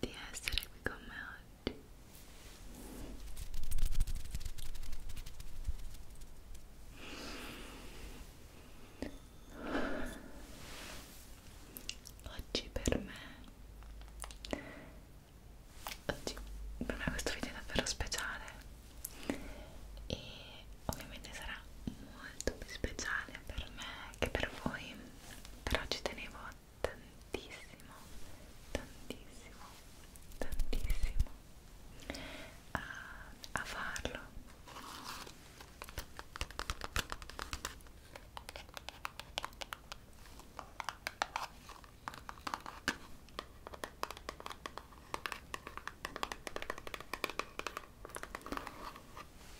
di essere qui con me oggi. Oggi per me, oggi per me questo video è davvero speciale e ovviamente sarà molto più speciale per me che per voi però ci tenevo tantissimo tantissimo tantissimo a, a farlo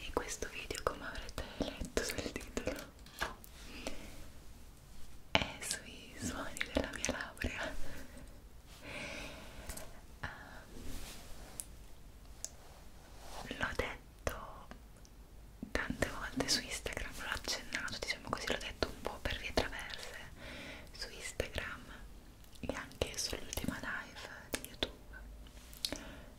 in questo video come avrete letto sul titolo è sui suoni della mia laurea um, l'ho detto tante volte su Instagram l'ho accennato diciamo così l'ho detto un po' per vie traverse su Instagram e anche sull'ultima live di YouTube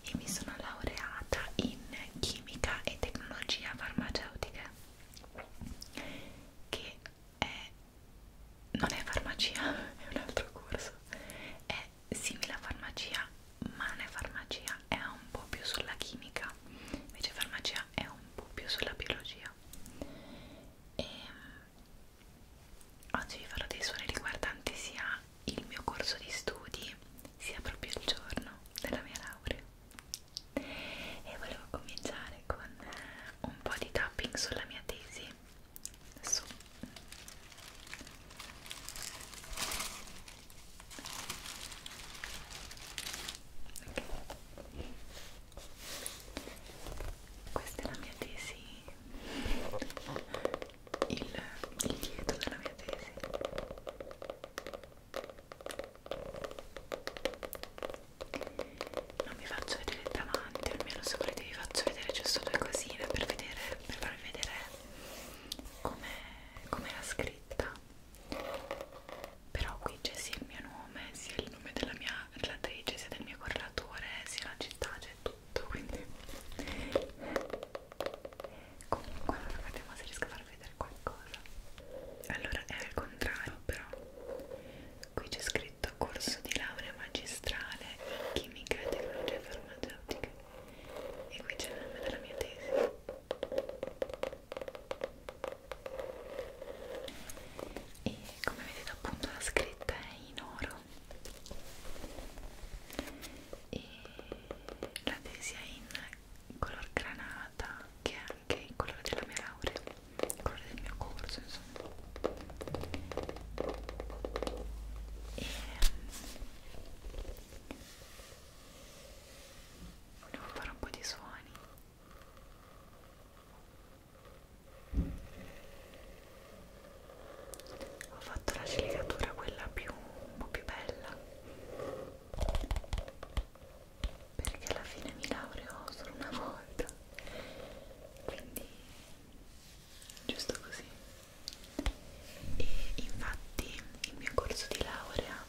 e mi sono laureata in chimica e tecnologia farmaceutica che è, non è farmacia, è un altro corso, è simile a farmacia ma non è farmacia, è un po' più sulla chimica, invece farmacia è un po' più sulla biologia. E ehm, oggi vi farò dei suoni riguardanti sia il mio corso di studi sia proprio il giorno della mia laurea e volevo cominciare con un po' di tapping sulla mia tesi su okay. questa è la mia tesi il, il dietro della mia tesi non vi faccio vedere davanti almeno se volete vi faccio vedere giusto due cosine per, vedere, per farvi vedere come com era scritta però qui c'è sia il mio nome sia il nome della mia relatrice sia del mio correlatore sia la città c'è tutto quindi comunque allora vediamo se riesco a far vedere qualcosa allora è al contrario però qui c'è scritto corso di laurea magistrale in chimica e tecnologie farmaceutiche e qui c'è il nome della mia tesi e come vedete appunto la scritta è in oro e la tesi è in color granata che è anche il colore della mia laurea il colore del mio corso insomma e mm, volevo fare un po' di suoni ho fatto la sligatura quella più un po' più bella perché alla fine mi laureo solo una volta quindi giusto così e infatti il mio corso di laurea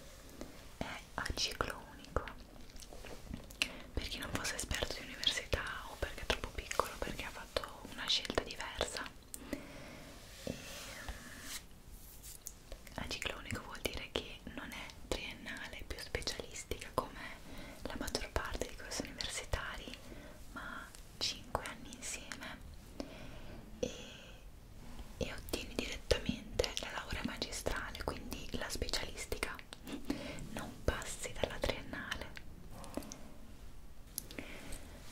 è a ciclo unico per chi non fosse esperto di università o perché è troppo piccolo perché ha fatto una scelta diversa e Aciclonico vuol dire che non è triennale, è più specialistica come la maggior parte di corsi universitari, ma 5 anni insieme e, e ottieni direttamente la laurea magistrale, quindi la specialistica, non passi dalla triennale.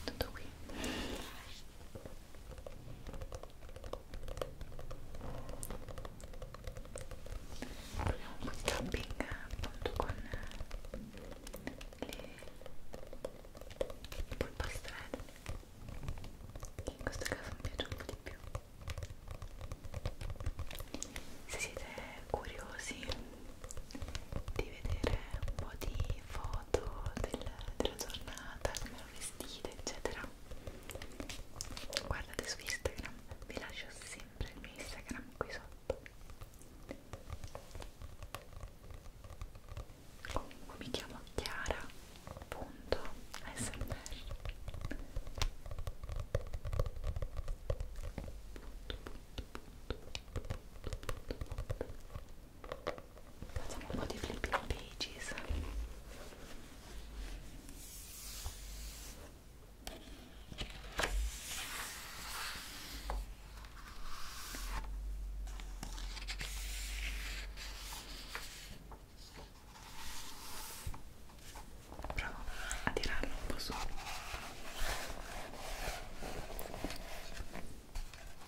Tutto qui proviamo un po' di tapping appunto eh, con le polpastrelle che in questo caso mi piace un po' di più se siete curiosi di vedere un po' di foto del, della giornata che mi hanno vestite eccetera guardate su Instagram vi lascio sempre il mio Instagram qui sotto comunque mi chiamo chiara.smr facciamo un po' di flipping pages Provo a tirarlo un po' su.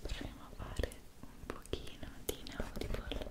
Proviamo a fare un pochino di inaudible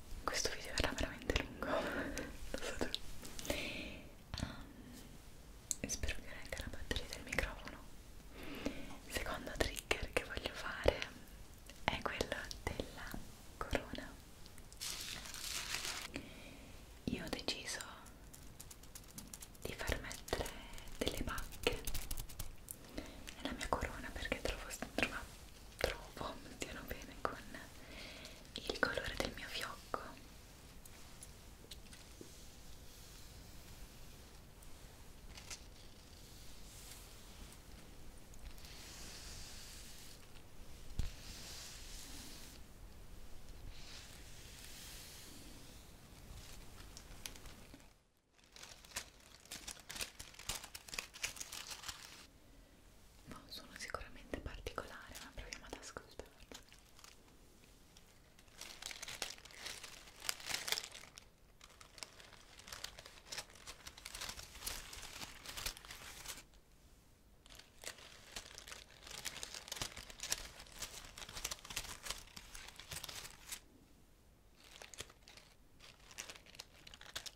questo video verrà veramente lungo lo so tu um, spero di non la batteria del microfono il secondo trigger che voglio fare è quello della corona io ho deciso di far mettere delle pacche nella mia corona perché trovo, trovo, trovo, stiano bene con il colore del mio fiocco ma un suono sicuramente particolare, ma proviamo ad ascoltarlo.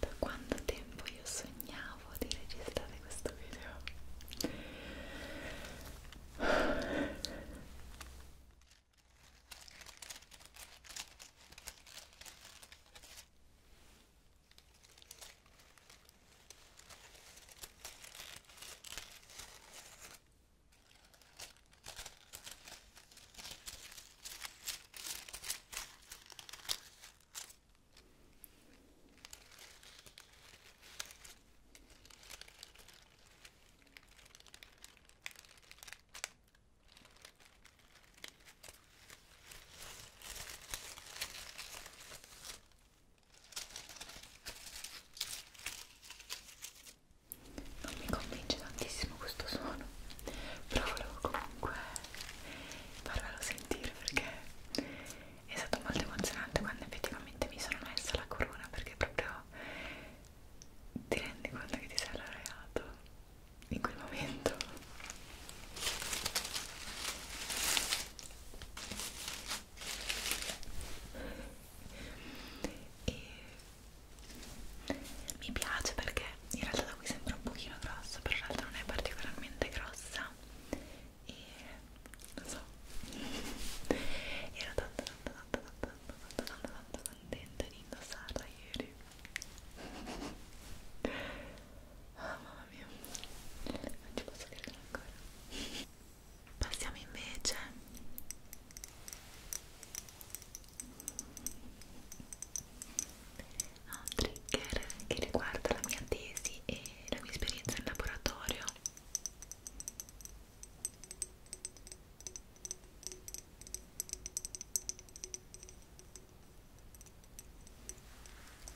da quanto tempo io sognavo di registrare questo video non mi convince tantissimo questo suono, però volevo comunque farvelo sentire perché è stato molto emozionante quando effettivamente mi sono messa la corona perché proprio ti rendi conto che ti sei laureato in quel momento e mi piace perché in realtà da qui sembra un pochino grosso però in realtà non è particolarmente grossa e non so ero tanto tanto tanto tanto tanto tanto tanto contenta di indossarla ieri ah oh, mamma mia non ci posso credere ancora passiamo invece a un trigger che riguarda la mia tesi e la mia esperienza in laboratorio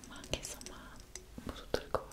ma anche insomma un po' tutto il corso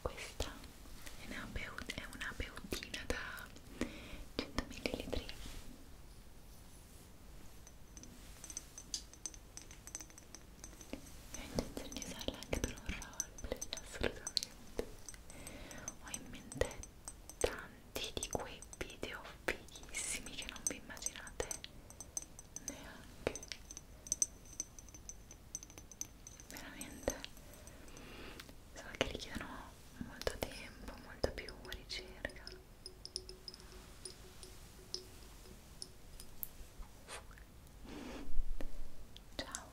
Questa è una, è una beutina da 100 ml. Ho intenzione di usarla anche per un roleplay, assolutamente. Ho in mente tanti di quei video fighissimi che non vi immaginate neanche veramente so che richiedono molto tempo molta più ricerca ciao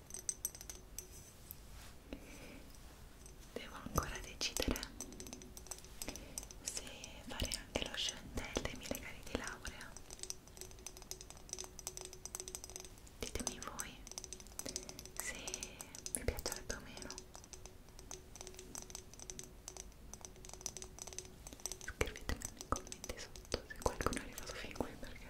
devo ancora decidere se fare anche lo chantel dei miei cari di laurea ditemi voi se vi piacerebbe o meno scrivetemi nei commenti sotto se qualcuno è arrivato fin qui perché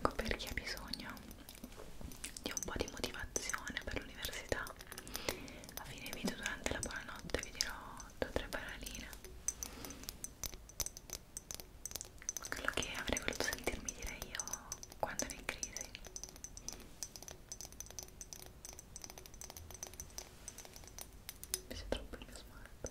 comunque per chi ha bisogno di un po' di motivazione per l'università a fine video durante la buonanotte vi dirò due o tre paroline quello che avrei voluto sentirmi dire io quando ero in crisi mi troppo il mio smart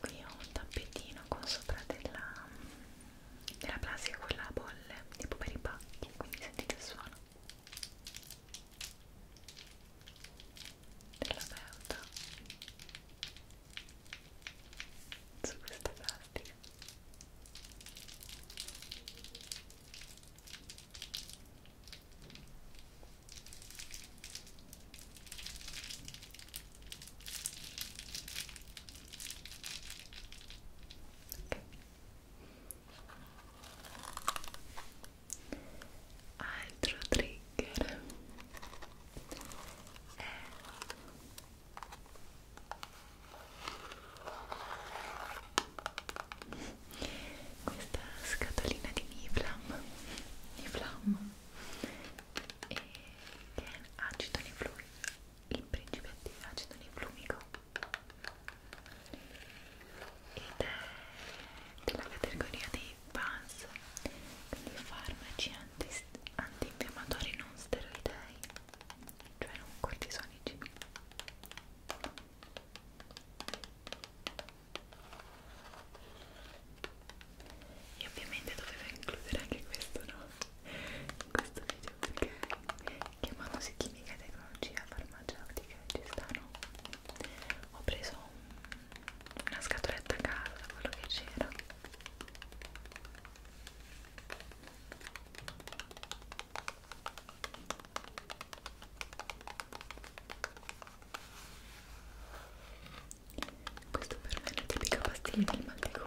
qui ho un tappetino con sopra della, della plastica con la bolle tipo per i pacchi quindi sentite il suono della beuta su questa plastica altro trigger è eh. questa scatolina di Niflam Niflam e che è acido neflumico il principe di acido neflumico ed è della categoria dei PANS quindi farmaci antinfiammatori anti non steroidei cioè non cortisonici e ovviamente dovevo includere anche questo no? in questo video perché chiamandosi chimica e tecnologia farmaceutica ci stanno ho preso un, una scatoletta a casa quello che c'era e questo per me è la tipica pastiglia del mal di gola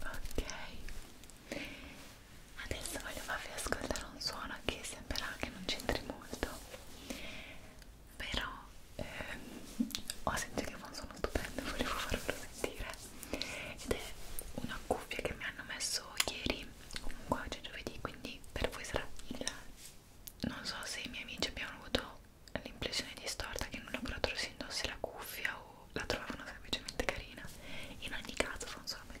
ok adesso voglio farvi ascoltare un suono che sembrerà che non c'entri molto però ehm, ho sentito che fa un suono stupendo volevo farvelo sentire ed è una cuffia che mi hanno messo ieri comunque oggi è giovedì quindi per voi sarà il non so se i miei amici abbiano avuto l'impressione distorta che in un laboratorio si indossi la cuffia o la trovavano semplicemente carina in ogni caso fa un suono bellissimo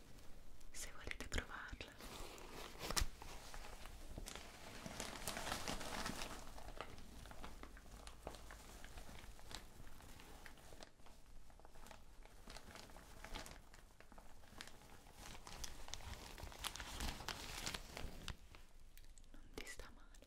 se volete provarla non ti sta male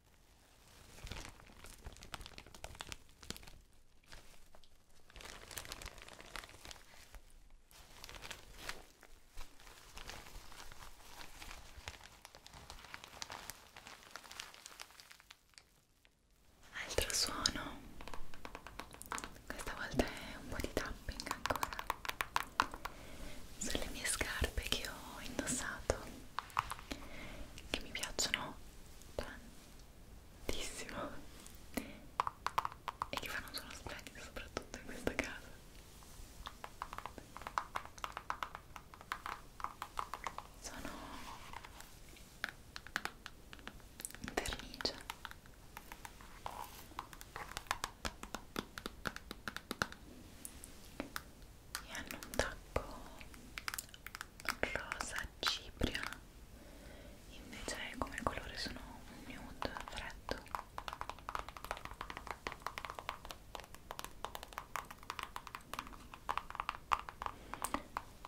Altro suono, questa volta è un po' di tapping ancora sulle mie scarpe che ho indossato che mi piacciono tantissimo e che fanno un suono splendido soprattutto in questa casa sono vernice e hanno un tacco rosa cipria invece come colore sono un nude freddo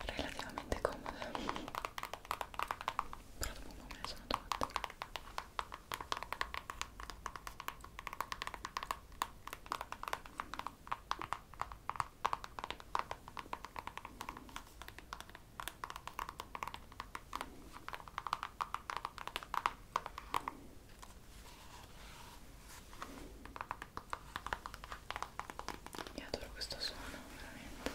relativamente comodo però dopo un po' me ne sono tolto io adoro questo suono, veramente.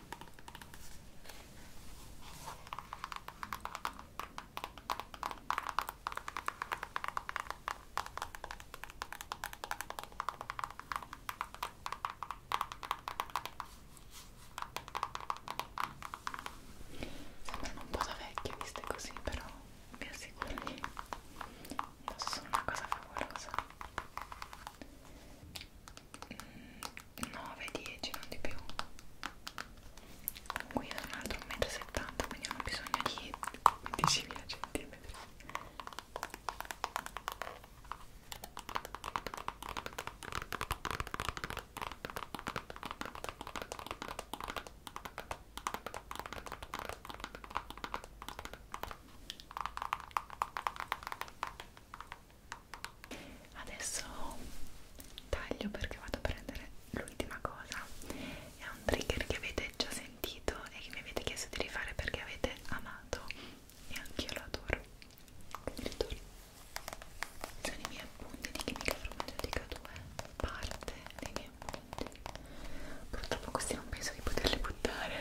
Sembrano un po' da vecchie viste così, però vi assicuro che sono una cosa favolosa. 9-10 non di più qui è un altro 1,70 m quindi non ho bisogno di 10.000 cm adesso taglio perché vado a prendere l'ultima cosa è un trigger che avete già sentito e che mi avete chiesto di rifare perché avete amato e anch'io lo adoro quindi ritorno sono i miei appunti di chimica farmaceutica 2 parte dei miei appunti purtroppo questi non penso di poterli buttare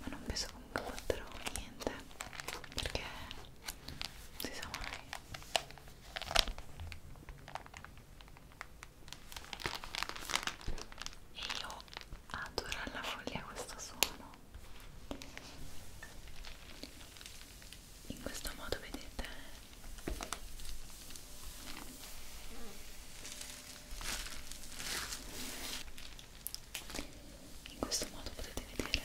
ma non penso comunque butterò niente perché si sa mai e io adoro alla follia questo suono in questo modo vedete in questo modo potete vedere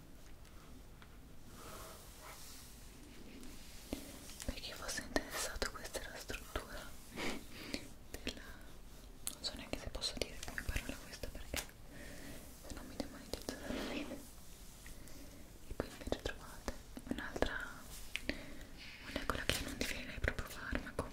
per chi fosse interessato questa è la struttura della... non so neanche se posso dire come parola questa perché se no mi demonetizzo dalla fine e qui invece trovate un'altra molecola che non definirei proprio farmaco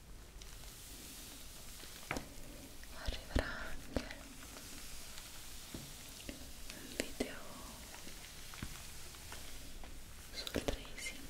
arriverà anche un video sul tracing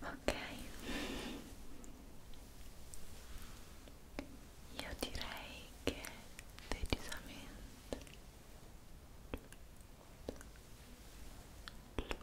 Ok, io direi che decisamente ok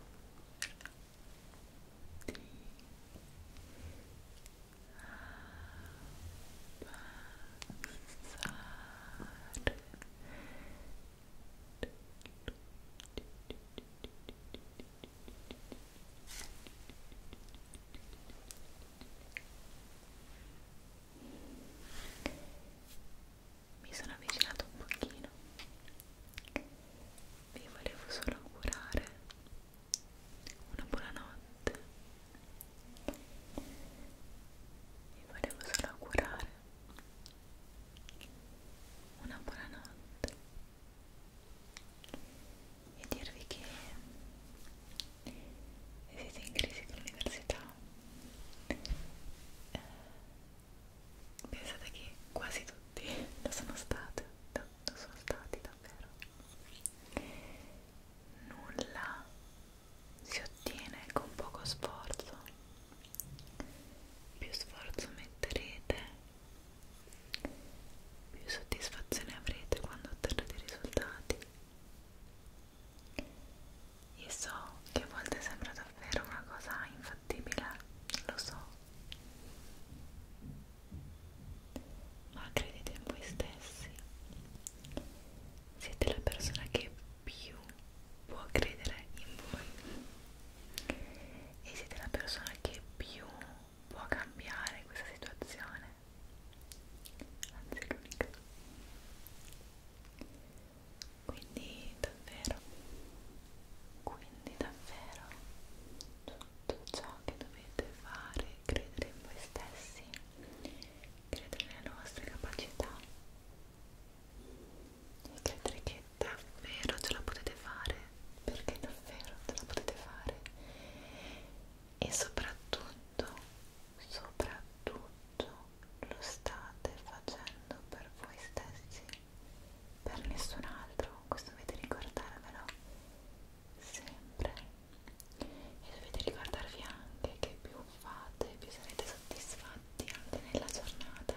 mi sono avvicinato un pochino vi volevo solo augurare una buonanotte vi volevo solo augurare una buonanotte e dirvi che se siete in crisi con l'università eh, pensate che quasi tutti lo sono state da quanto sono stati davvero nulla si ottiene con poco sforzo più sforzo metterete più soddisfazione avrete quando otterrete i risultati io so che a volte sembra davvero una cosa infattibile lo so ma credete in voi stessi siete la persona che più può credere in voi e siete la persona che più può cambiare questa situazione anzi l'unica quindi davvero quindi davvero sono tutto ciò che dovete fare, credere in voi stessi, credere nelle vostre capacità e credere che davvero ce la potete fare, perché davvero ce la potete fare e soprattutto, soprattutto lo state facendo per voi stessi, per nessun altro, questo dovete ricordarvelo sempre e dovete ricordarvi anche che più fate più sarete soddisfatti anche nella giornata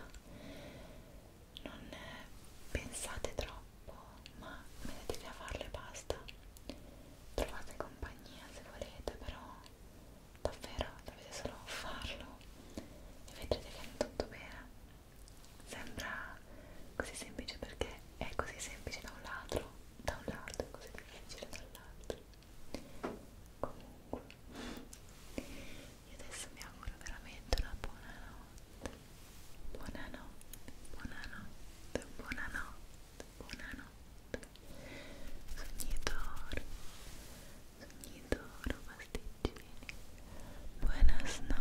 non eh, pensate troppo ma mettetevi a farlo e basta trovate compagnia se volete però davvero dovete solo farlo e vedrete che è tutto bene sembra così semplice perché è così semplice da un lato da un lato è così difficile dall'altro comunque io adesso mi auguro veramente una buona notte buonanotte buonanotte buonanotte buonanotte sognitoro sognitoro pasticcini buonasnotte